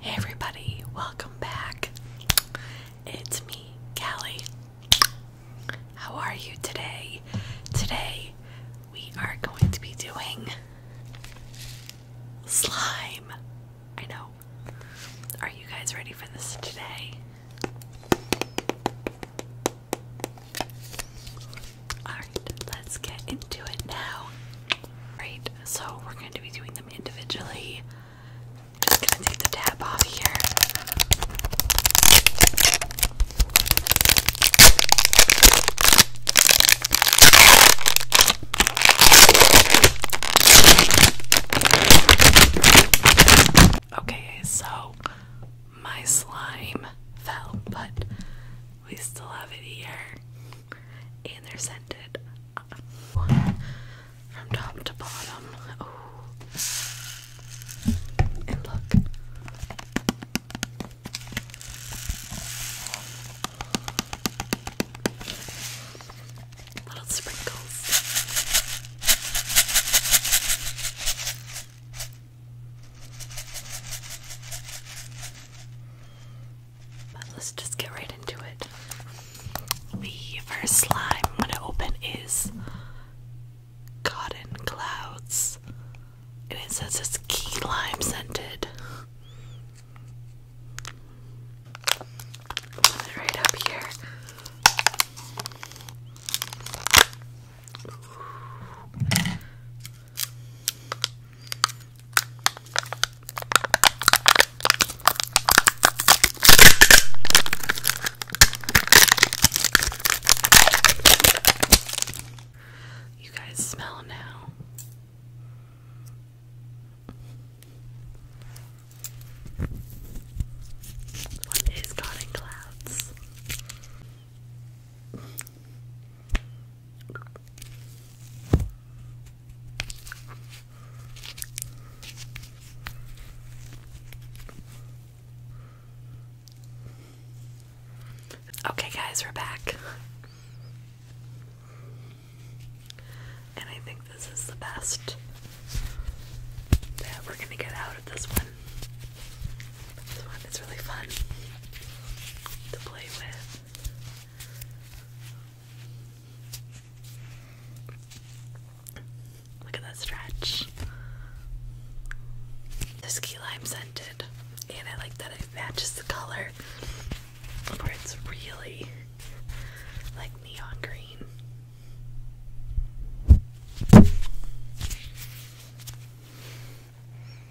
Hey everybody, welcome back. It's me, Callie. How are you today? Today we are going to be doing slime. I know. Are you guys ready for this today? Alright, let's get into it now. Right, so we're going to be doing them individually. Just gonna take the tab off here. Okay, so my slime fell, but we still have it here. And they're scented uh, from top to bottom. And look. Little sprinkles let's just get right into it. The first slime I'm going to open is Cotton Clouds. And it says it's key lime scented. right up here. You guys smell now. What is cotton clouds? Okay, guys, we're back. And I think this is the best that we're going to get out of this one. This one is really fun to play with. Look at that stretch. This key lime scented, and I like that it matches the color where it's really like neon green.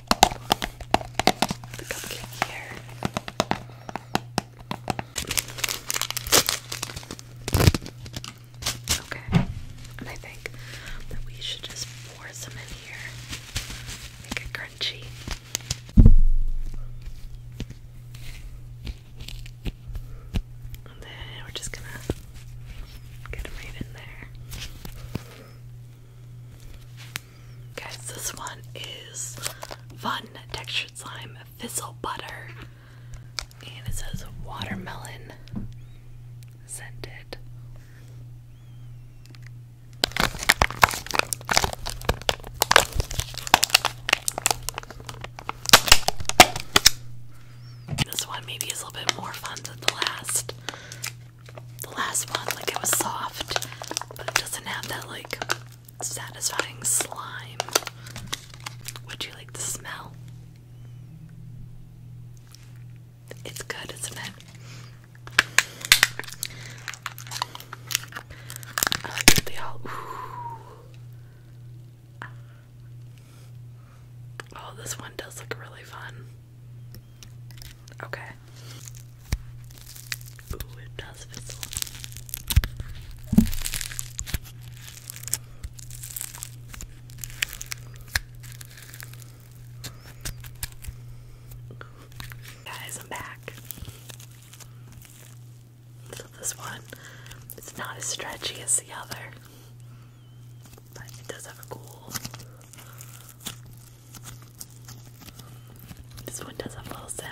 Okay, and I think that we should just pour some in here, make it crunchy. And then we're just gonna get right in there. Guys, this one is Fun Textured Slime Fizzle Butter. And it says watermelon scented. This one maybe is a little bit more fun than the last the last one, like it was soft, but it doesn't have that like satisfying slime. Would you like the smell? It's good, isn't it? Oh, this one does look really fun. Okay. Ooh, it does fizzle. Guys, I'm back. So this one, it's not as stretchy as the other, but it does have a cool this one does a full sound.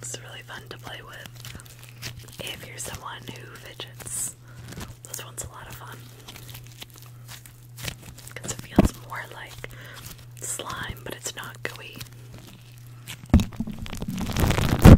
It's really fun to play with if you're someone who fidgets. This one's a lot of fun because it feels more like slime, but it's not gooey.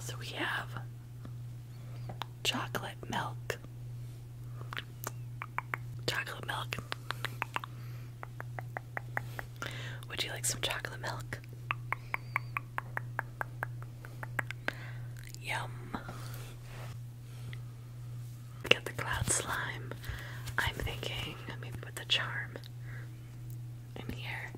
So we have chocolate milk. Chocolate milk. Would you like some chocolate milk? Yum. Get the cloud slime. I'm thinking maybe with the charm in here.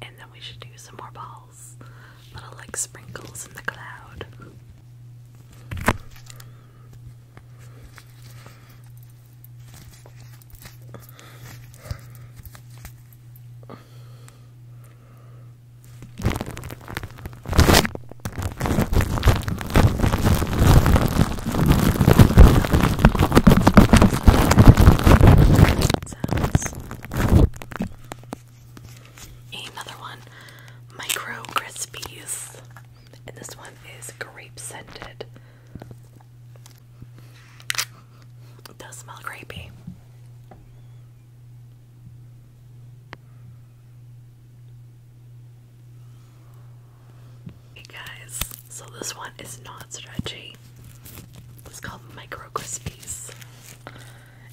And then we should do some more balls. Little like sprinkles in the cloud. Another one, Micro Crispies, and this one is grape scented. It does smell grapey. Hey guys, so this one is not stretchy. It's called Micro Crispies.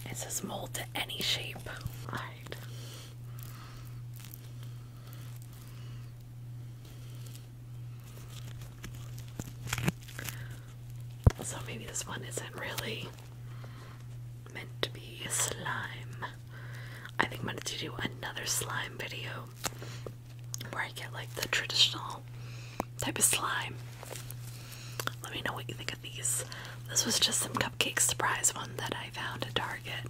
It says mold to any shape. Alright. So maybe this one isn't really meant to be slime. I think I'm going to do another slime video where I get like the traditional type of slime. Let me know what you think of these. This was just some cupcake surprise one that I found at Target.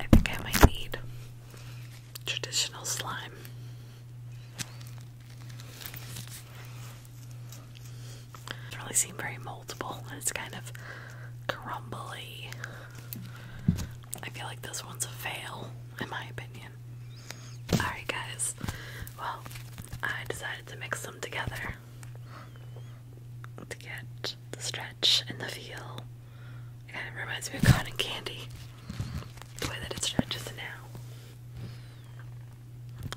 I think I might need traditional slime. It really seems very multiple, and it's kind of crumbly. I feel like this one's a fail, in my opinion. Alright, guys. Well, I decided to mix them together to get the stretch and the feel. It kind of reminds me of cotton candy, the way that it stretches now.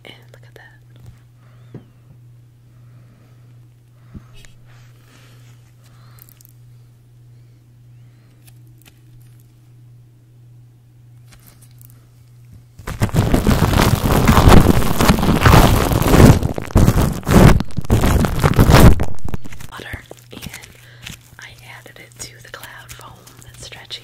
And look at that. Water and I added it to the cloud foam that's stretchy.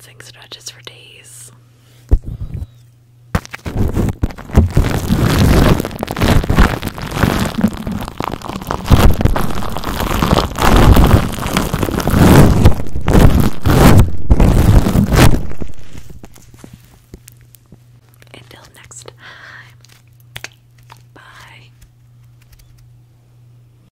Sing stretches for days. Until next time, bye.